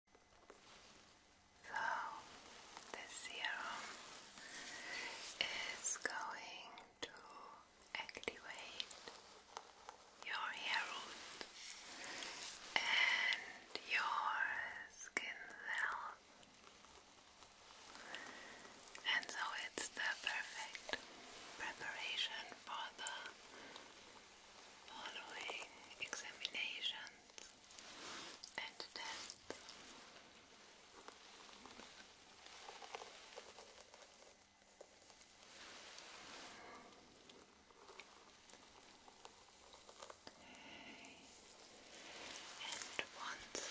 So, the serum is going to activate your hair root and your skin cells, and so it's the perfect preparation for the following examinations and death. And once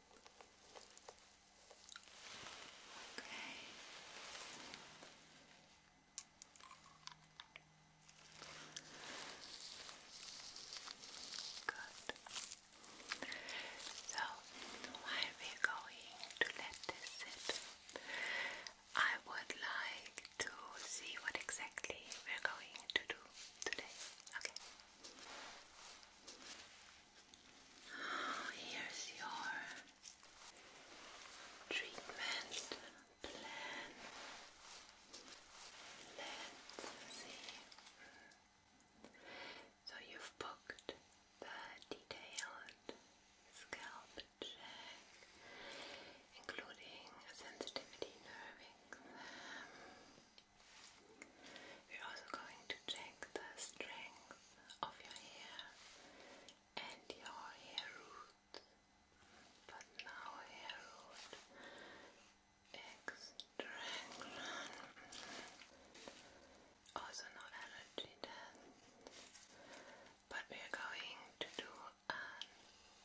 Okay. Good. So while we're going to let this sit, I would like to see what exactly we're going to do today. Okay. Here's your treatment plan. Let's see. So you've booked the detailed scalp check, including a sensitivity nerve exam. Um, we're also going to check the strength of your hair and your hair root. But now hair root extraction. Also no allergy test. But we're going to do an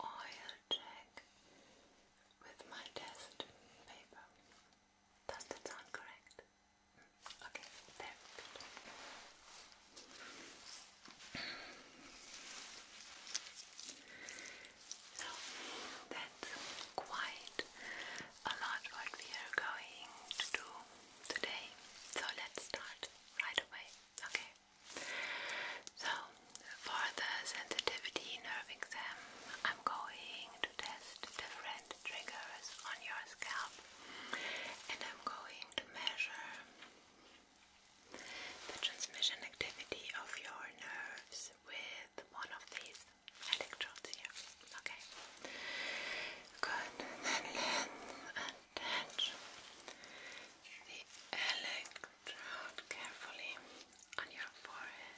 oil check with my test paper. Does that sound correct? Okay, So that's quite a lot what we are going to do today. So let's start right away. Okay. So for the sensitivity nerve exam, I'm going to test different triggers on your scalp, and I'm going to measure the transmission activity of your nerves with one of these electrodes here. Okay, good. Then let attach the electrode carefully on your forehead.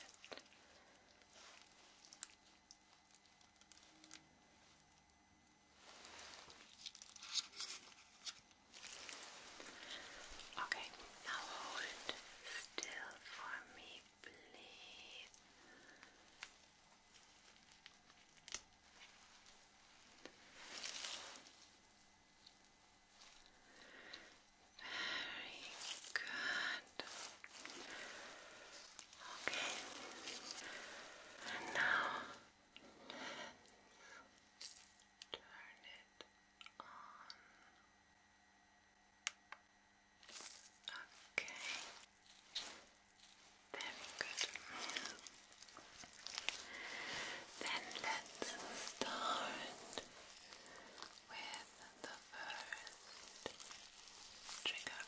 Okay, now hold still for me, please. Very good. Okay. And now turn it on. Okay. Very good. Then let's start with with the first trigger.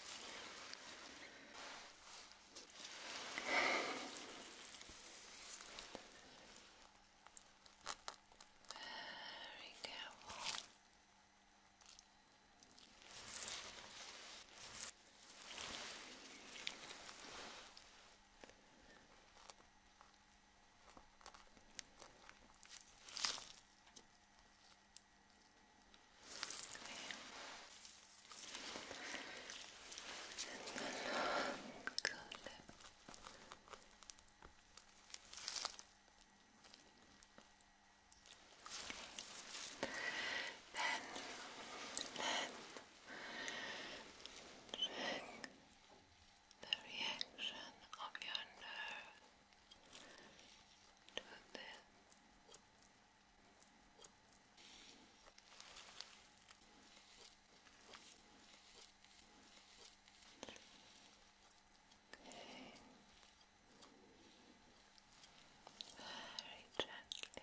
Very careful. Very and the then, then check the reaction of your nerves to this. Very gently.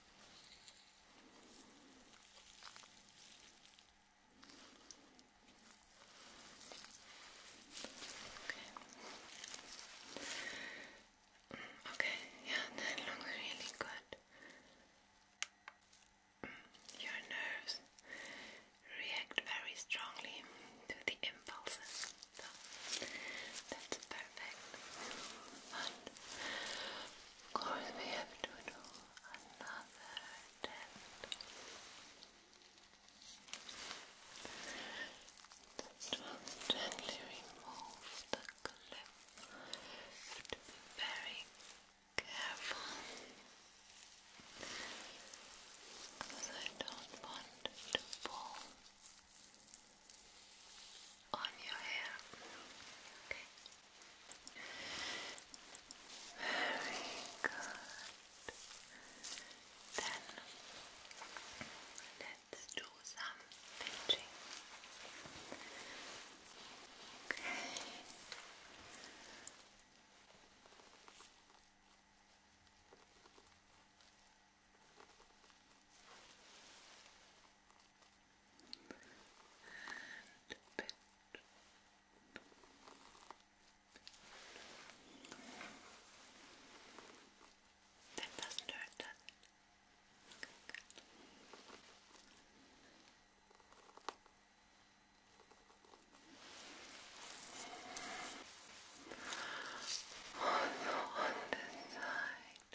Okay. Okay, yeah, that looks really good. Mm, your nerves react very strongly to the impulses, that's perfect. Of course, we have to do another test. Just remove the clip. You have to be very careful because I don't want to pull on your hair. Okay. Very good. Then let's do some pinching. Okay. And bend. That doesn't hurt, does it? Also on this side.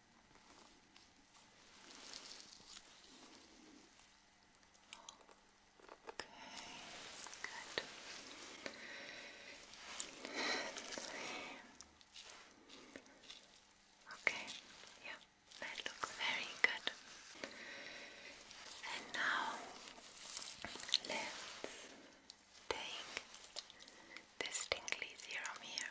good. Okay, yeah, that looks very good. And now let's take Distinctly tingly here.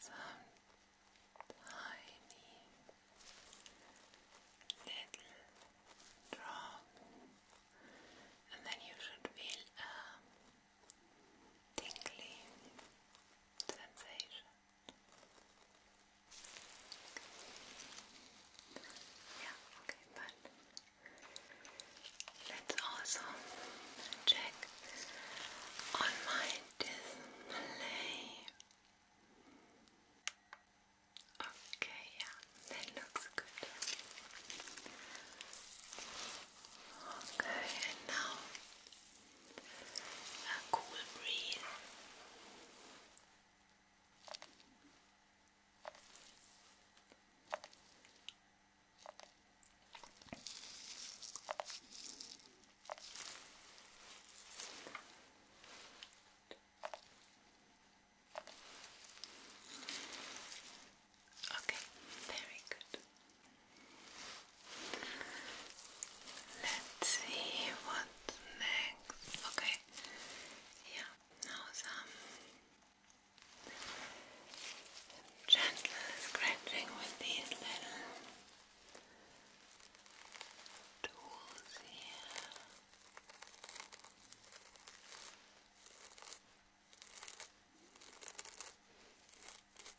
Some tiny little drop, and then you should feel a tingly sensation. Yeah, okay, but let's also check on my display. Okay, yeah, that looks good. Okay, and now a cool breeze. Okay, very good. Let's see what next. Okay, yeah, now some gentle scratching with these little tools here.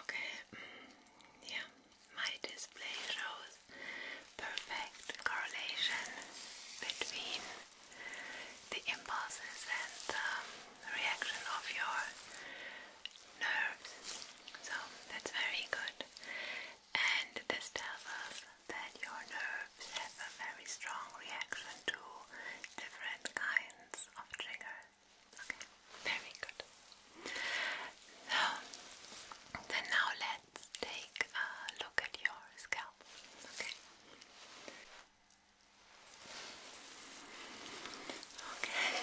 Okay, mm, yeah, my display shows perfect correlation between the impulses and the reaction of your nerves. So that's very good and this tells us that your nerves have a very strong reaction to different kinds of triggers. Okay, very good. So, then now let's take a look at your scalp. Okay.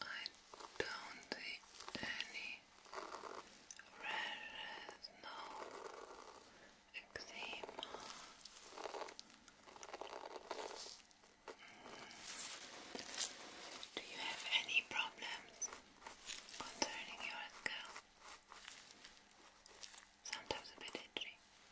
I don't see any rashes, no eczema. Hmm. Do you have any problems concerning your scalp? Sometimes a bit itchy.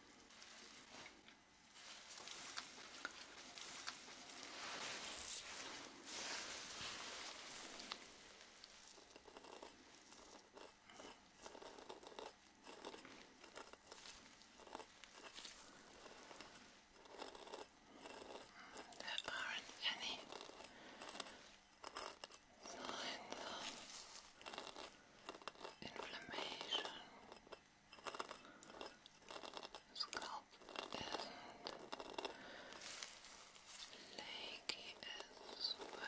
There aren't any signs of inflammation. scalp isn't as well.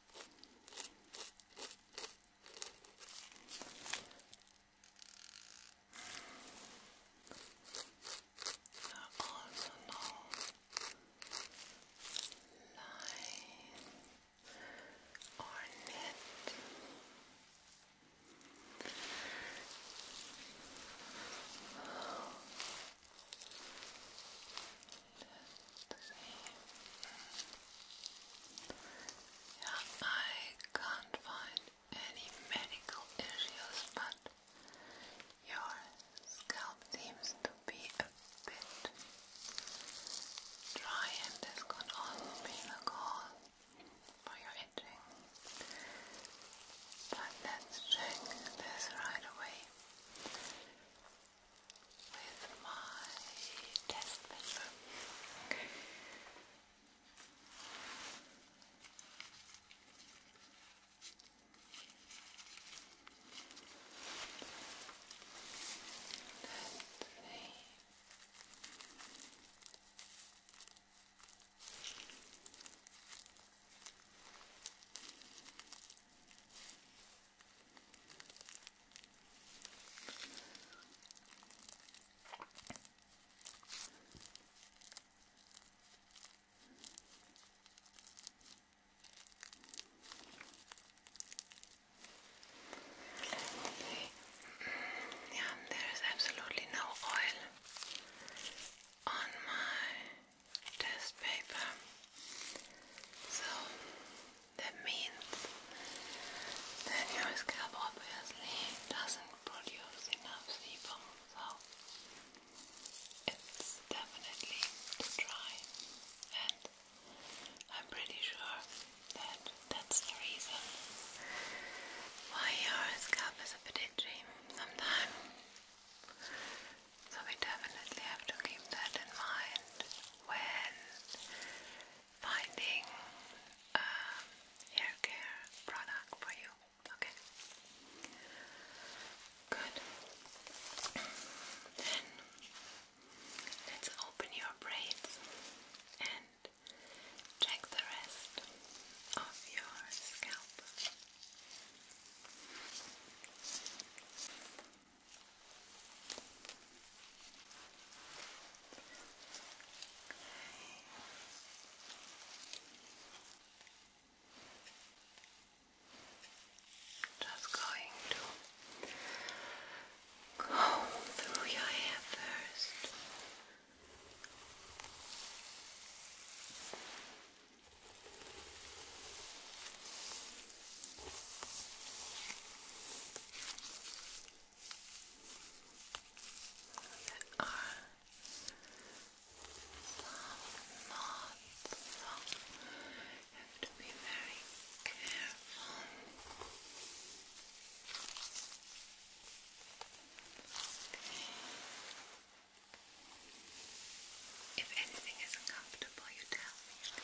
There are also no line or net. Yeah, I can't find any medical issues, but your scalp seems to be a bit dry, and this could also be the cause for your itching. But let's check this right away with my test paper. Okay. Let's see. Yeah, there is absolutely no oil on my test paper. So that means that your scalp obviously doesn't produce enough sebum, so it's definitely too dry. And I'm pretty sure that that's the reason why your scalp is a bit itchy sometimes. So we definitely have to keep that in mind when finding um, hair care product for you. Okay. Good. Then let's open your braids and check the rest of your scalp. Just going to comb through your hair first. They are some you have to be very careful. If anything isn't you tell me.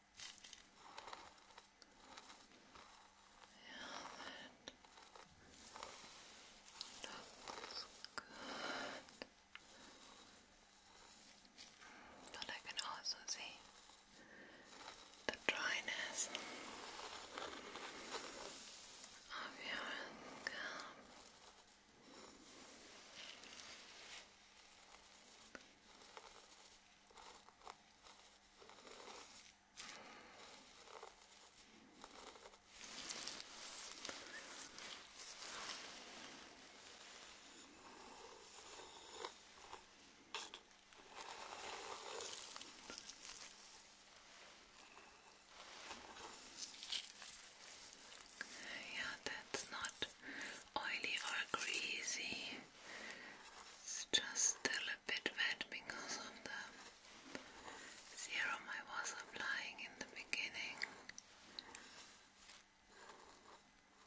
good. But I can also see the dryness of your scalp. Yeah, that's not oily or greasy. It's just still a bit wet because of the serum I was applying in the beginning.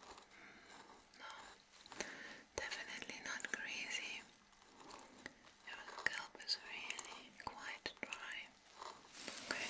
Hmm, no, definitely not greasy. Your scalp is really quite dry. Okay.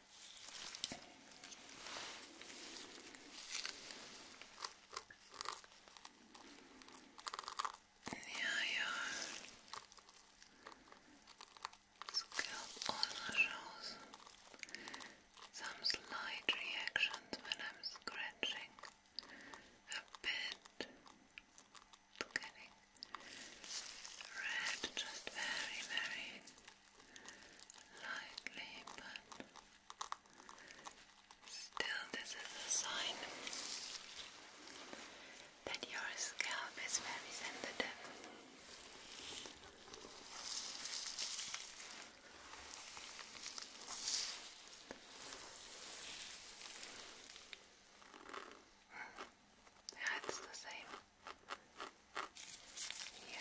And yeah, your also shows some slight reactions when I'm scratching a bit. getting red, just very, very lightly, but still, this is a sign that your scalp is very sensitive. Yeah, the same. Yeah.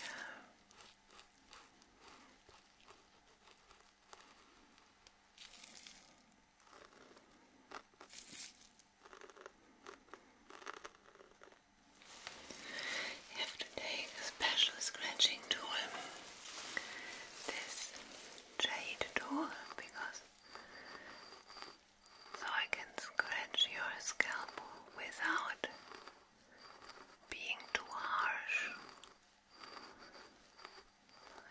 You have to take a special scratching tool, this jade tool, because so I can scratch your scalp without being too harsh.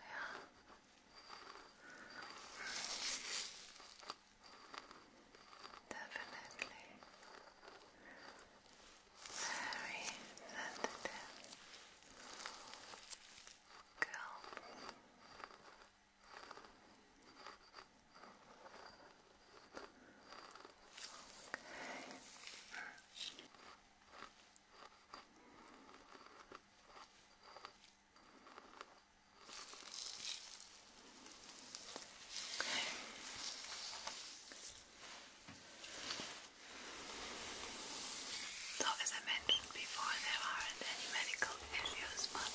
Yeah. Definitely very sensitive scalp. So, as I mentioned before, there aren't any medical issues, but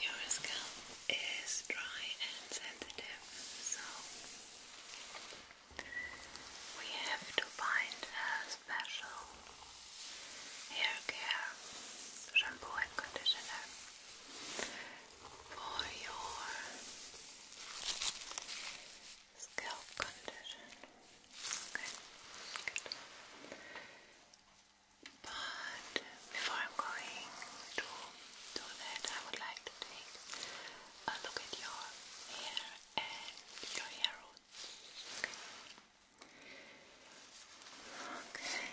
your scalp is dry and sensitive, so we have to find a special hair care shampoo and conditioner for your scalp condition. Okay. But before I'm going to do that, I would like to take a look at your hair and your hair roots. Okay.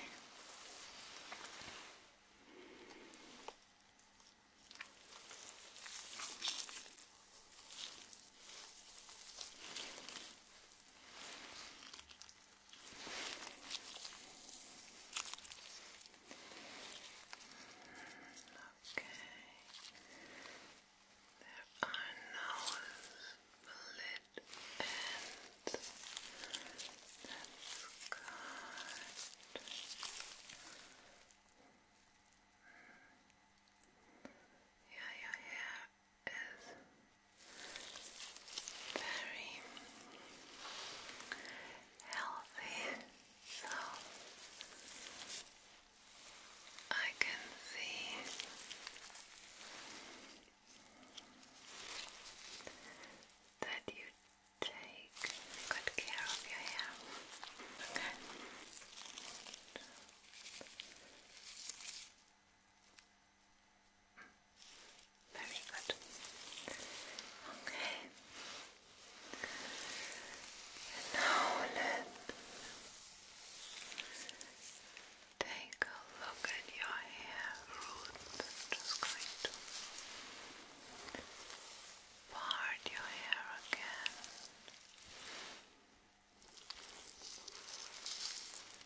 Okay. There are no split ends. That's good. Yeah, your hair is very healthy, so I can see that you take good care of your hair. Okay. Very good. Okay. now let's take a look at your hair root. just going to part your hair again.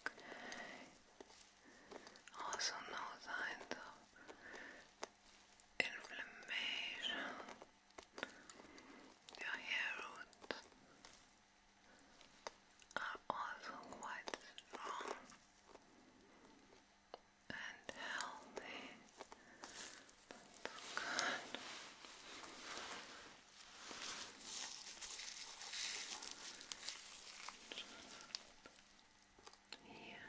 Okay. Also no signs of inflammation. Your hair roots are ah, also quite strong and healthy. Good. Yeah.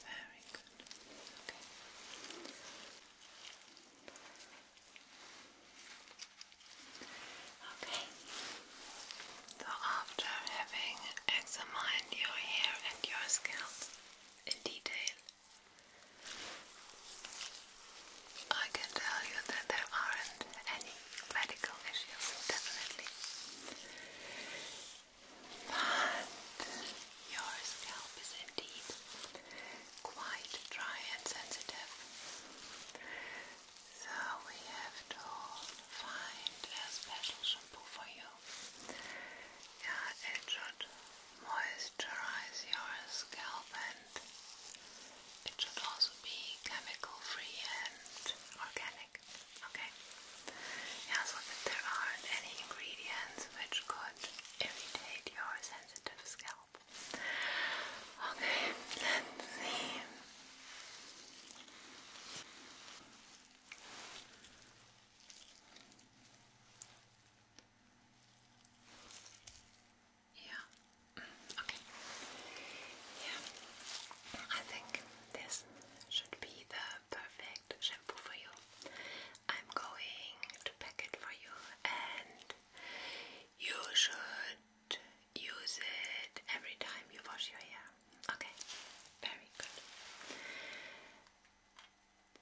Very good. Okay. Okay. So after having examined your hair and your scalp in detail, I can tell you that there aren't any medical issues, definitely. But your scalp is indeed quite dry and sensitive. So we have to find a special shampoo for you. Yeah, it should moisturize your scalp and it should also be chemical free and organic. Okay? Yeah, so that there aren't any ingredients which could irritate your sensitive scalp. Okay, let's see. Yeah. Okay. Yeah. I think this should be the perfect shampoo for you. I'm going to pack it for you and you should use it every time you wash your hair. Okay, very good.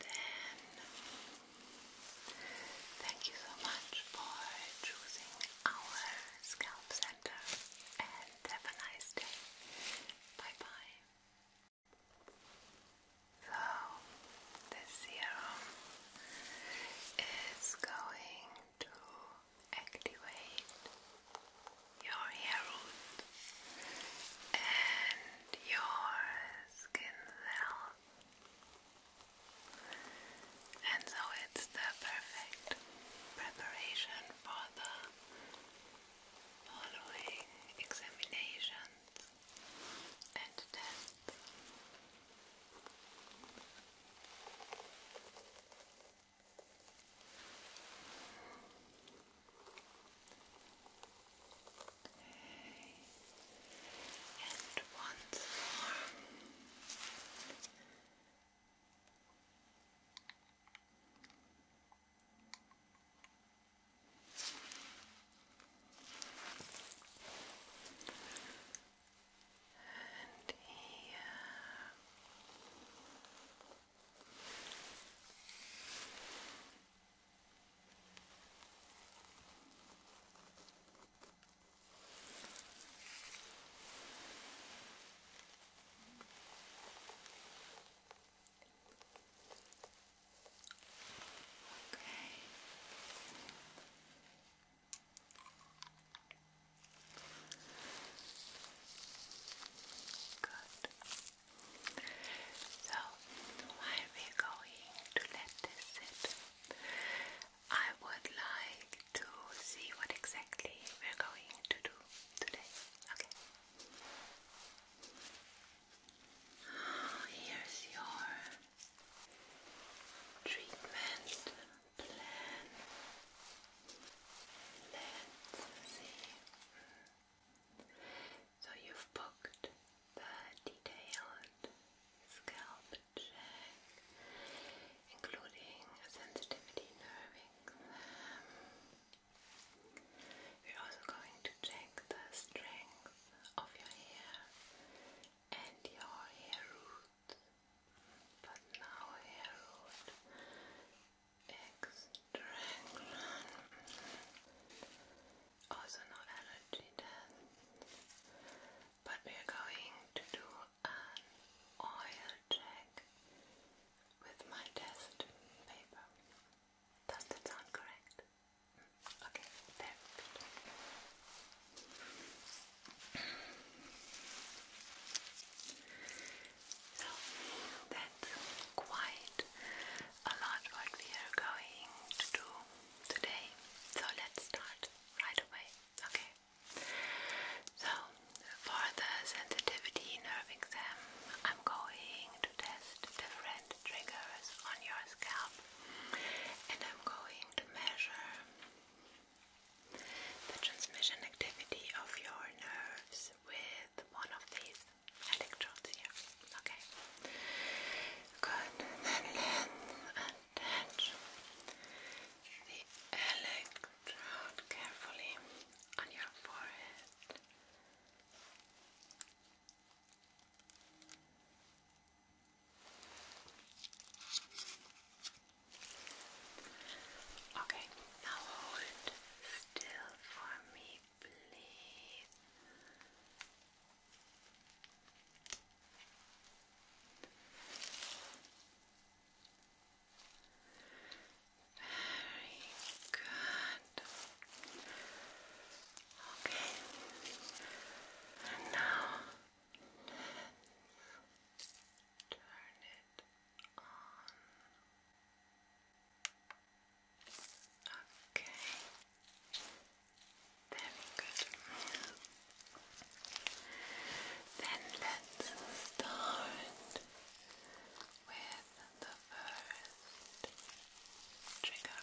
Then, thank you so much for choosing our scalp center and have a nice day. Bye bye. So, the serum is going to activate your hair root and your skin cells. And so it's the perfect preparation for the following examinations and tests. Okay. And once more and here. Okay. Good. So while we're going to let this sit, I would like to see what exactly we're going to do today. Okay. Here's your treatment plan. Let's see. So you've booked the detailed scalp check, including sensitivity nerve We're um, also going to check the strength of your hair and your hair root but now I wrote extraction. Also no allergy test, but we are going to do an oil check with my test paper. Does that sound correct? Mm, okay, very good. So that's quite a lot what we are going to do today. So let's start right away. Okay. So for the sensitivity nerve exam, I'm going to test different triggers on your scalp and I'm going to measure the transmission activity of your nerves with one of these electrodes here. Okay. Good. Then attach the electrode carefully on your forehead. Okay, now hold still for me, please. Very good. Okay. And now Turn it on. Okay. Very good. Then let's start with the first trigger.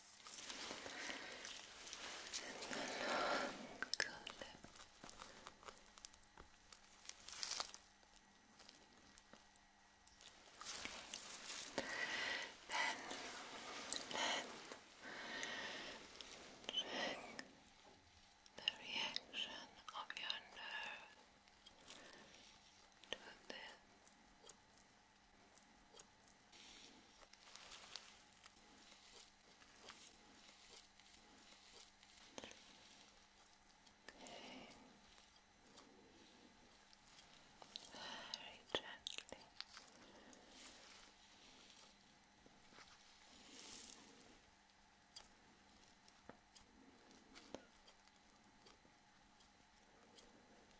and the Then, then, check the reaction of your nerve to this. Very gently. Very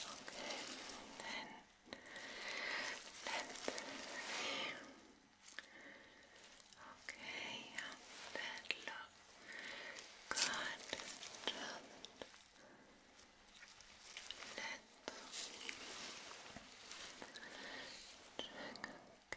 Okay, then let Okay, yeah, that look good. Just let check again.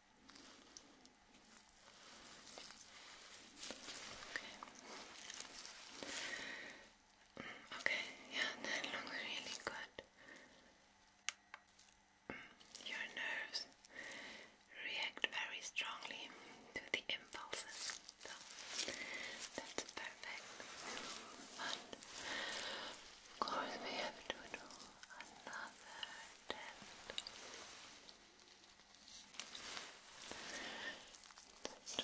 Okay. Okay, yeah, that looks really good. Your nerves react very strongly to the impulses, that's perfect. But of course, we have to do another test. Just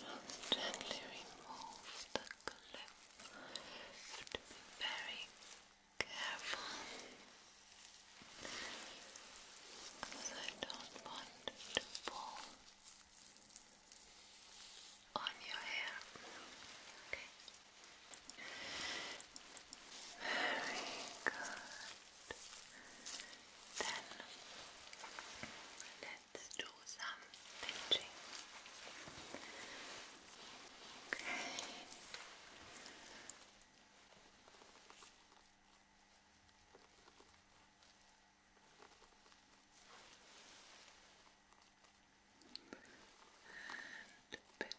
gently remove the clip. You to be very careful because I don't want to pull on your hair. Okay. Very good. Then let's do some pinching. Okay. And bit.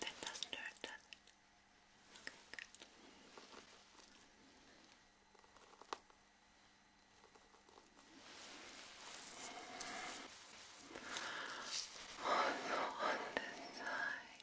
That doesn't hurt, does Also on this side.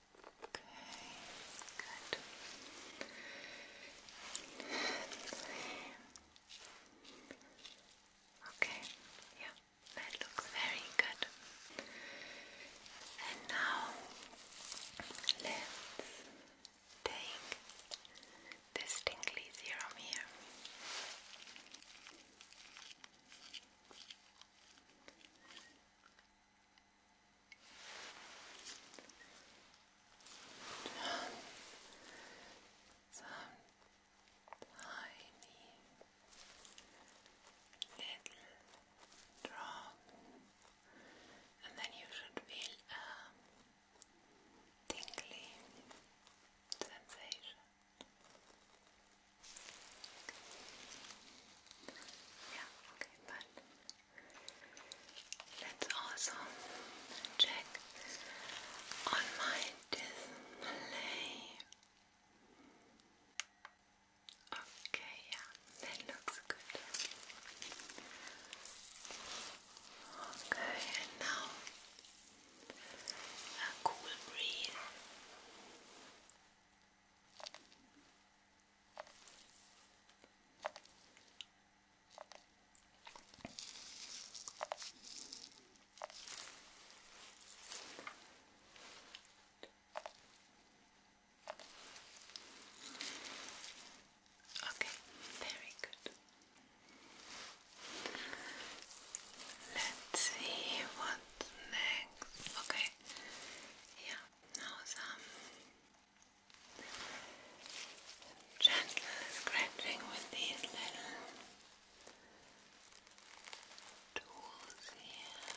good. Okay, yeah, that looks very good. And now let's take this tingly serum here some tiny little drop, and then you should feel a tingly sensation. Yeah, okay, but let's also check on my display. Okay, yeah, that looks good. Okay, and now a cool breeze. Okay, very good. Let's see what next. Okay, yeah, now some gentle scratching with these little tools here.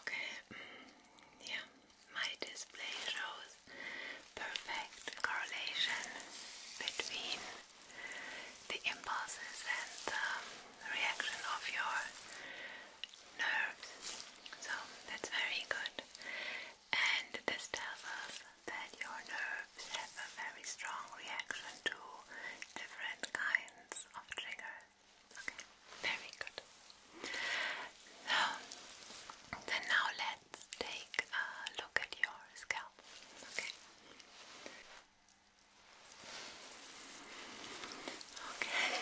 Okay, yeah, my display shows perfect correlation between the impulses and the reaction of your nerves. So that's very good. And this tells us that your nerves have a very strong reaction to different kinds of triggers. Okay, very good. So, then now let's take a look at your scalp. Okay. Okay.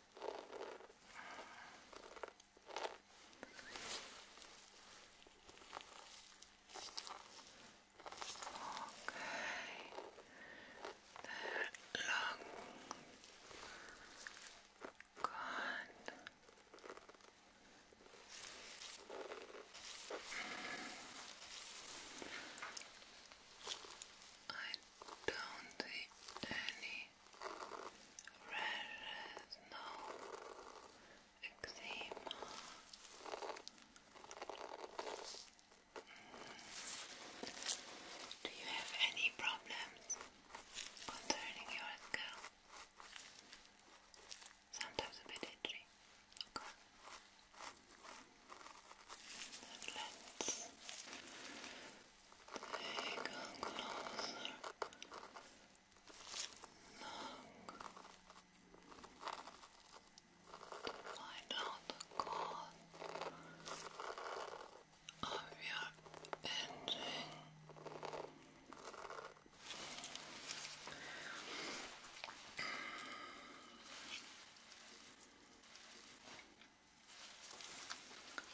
They're long gone. I don't see any rashes, no eczema. Do you have any problems concerning your scalp? Sometimes a bit itchy. Okay. Let's Take a closer look to find out the cause of your binging. There aren't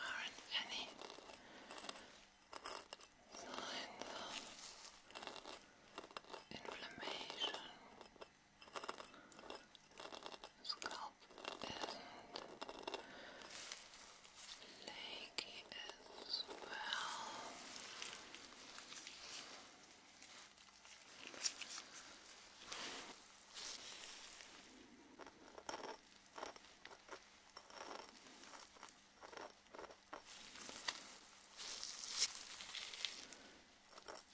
any signs of inflammation. Scalp isn't as well.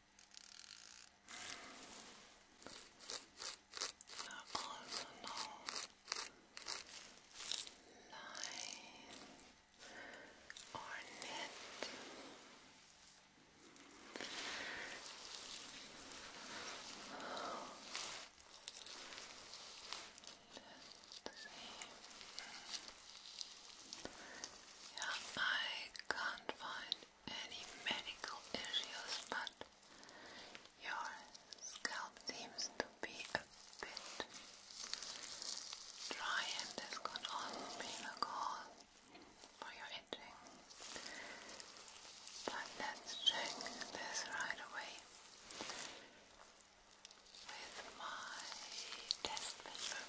also know line or knit Let's yeah, I can't find any medical issues, but your scalp seems to be a bit dry, and this could also be the for your itching. But let's check this right away with my test measure.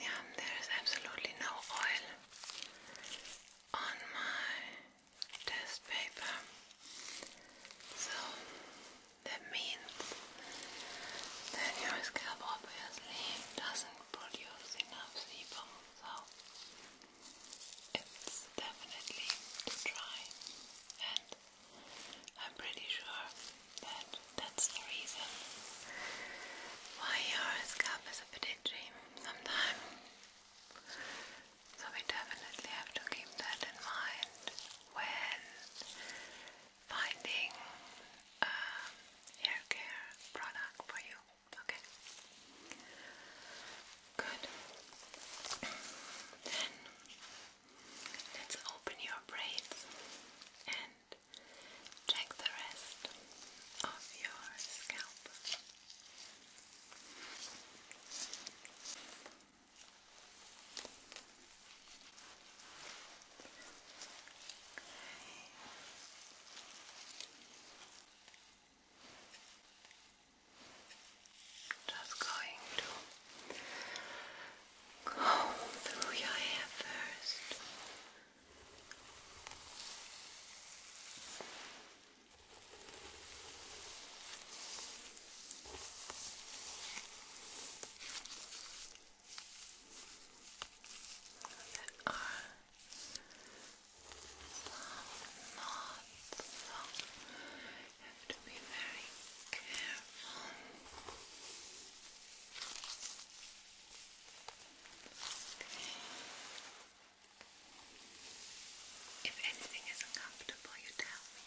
Yeah, there is absolutely no oil on my test paper, so that means then your scalp obviously doesn't produce enough sebum, so it's definitely too dry. And I'm pretty sure that that's the reason why your scalp is a bit itchy sometimes. So we definitely have to keep that in mind when finding um, hair care product for you. Okay. Good. Then let's open your braids and check the rest of your scalp. Just going to comb through your hair first. They are some knots, you have to be very careful. If anything is uncomfortable, you tell me.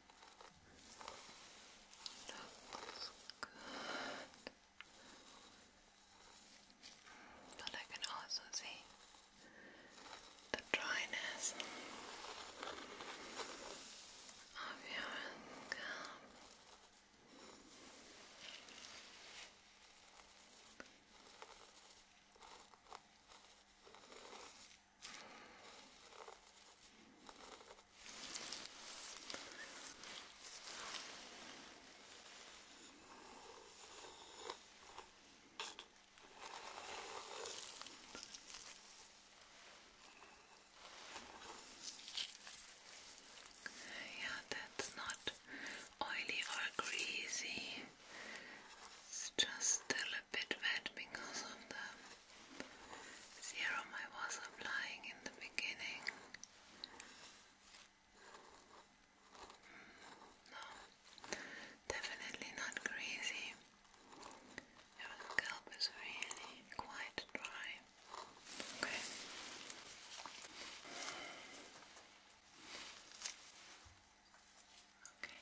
Looks good. But I can also see the dryness of your scalp. Good. Yeah, that's not oily or greasy. It's just still a bit wet because of the serum I was applying in the beginning. Mm, no, definitely not greasy. Your scalp is really quite dry. Okay. Okay.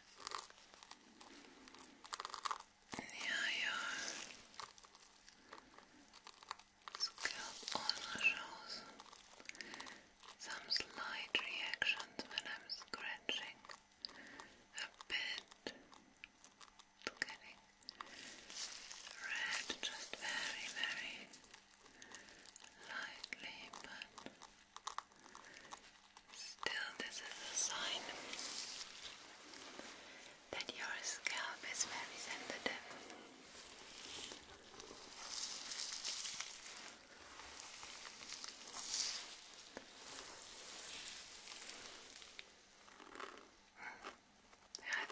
near your scalp also shows some slight reactions when I'm scratching a bit. It's getting red just very, very lightly, but Still, this is a sign that your scalp is very sensitive.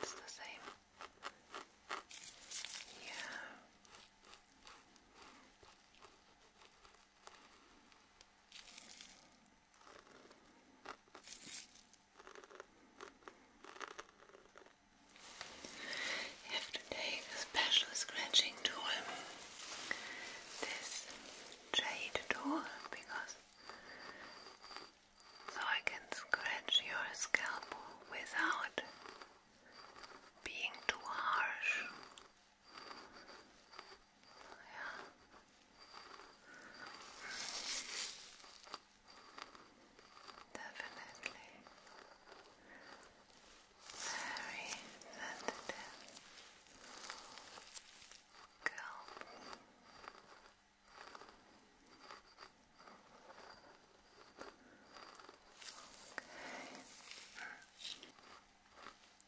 it's the same. Yeah. You have to take a special scratching tool, this jade tool, because so I can scratch your scalp without being too harsh. Yeah. Definitely very sensitive girl. So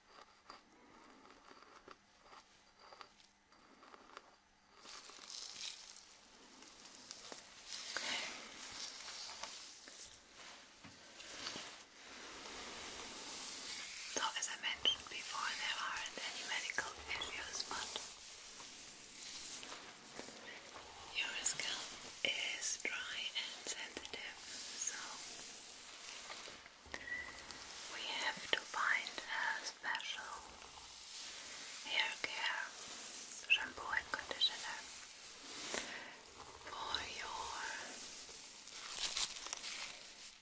as I mentioned before, there aren't any medical issues, but your scalp is dry and sensitive, so we have to find a special hair care shampoo and conditioner for your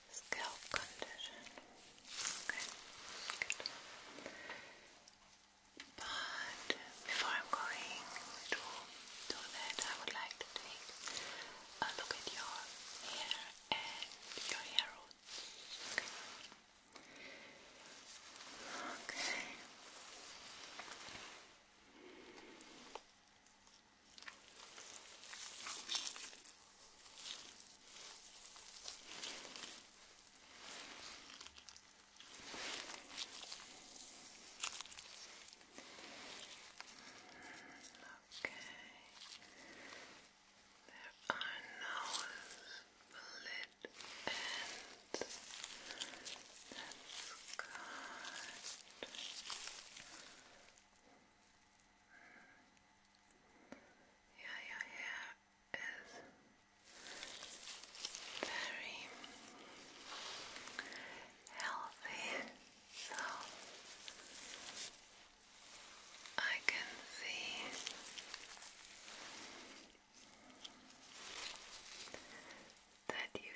scalp condition. But before I'm going to do that, I would like to take a look at your hair and your hair roots. Okay. Okay. There are no split ends. That's good. Yeah, your hair is very healthy. So I can see that you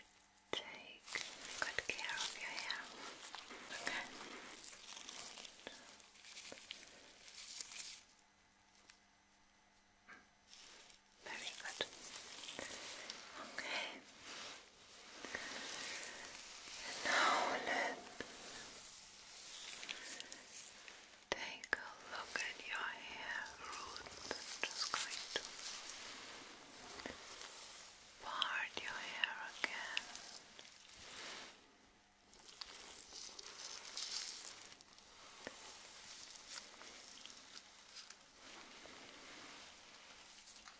take good care of your hair. Okay. Very good. Okay. And now let's take a look at your hair roots. just going to part your hair again.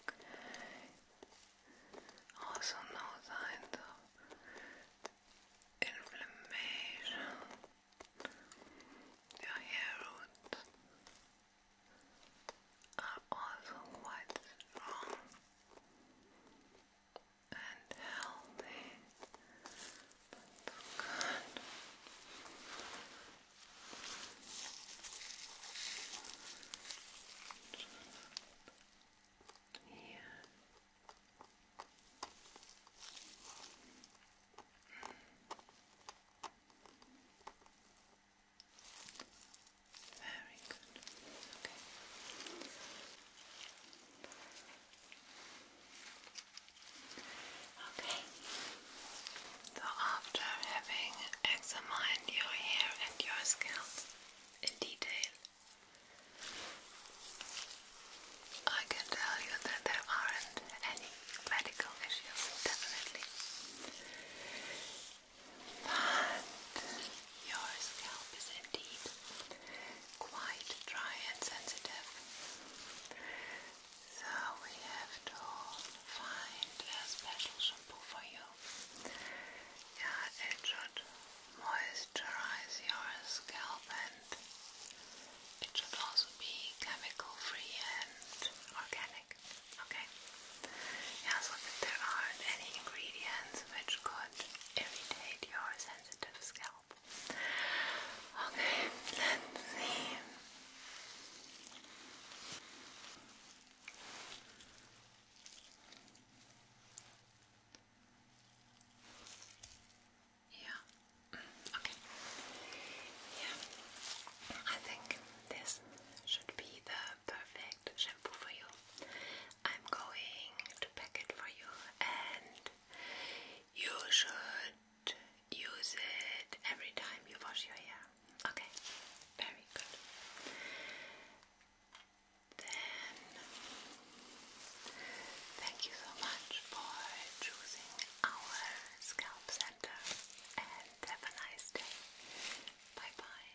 Okay. Also no signs of inflammation. Your hair roots are ah, also quite strong and healthy. good. Yeah. Very good. Okay. Okay. So after having examine your hair and your scalp in detail. I can tell you that there aren't any medical issues, definitely. But your scalp is indeed quite dry and sensitive. So we have to find a special shampoo for you yeah, it should moisturize your scalp and it should also be chemical free and organic. Okay? Yeah, so that there aren't any ingredients which could irritate your sensitive scalp. Okay, let's see. Yeah. Okay. Yeah. I think this should be the perfect shampoo for you. I'm going to pack it for you and you should use it every time you wash your hair. Okay, very good. Then, thank you so much for choosing our scalp center and have a nice day. Bye bye.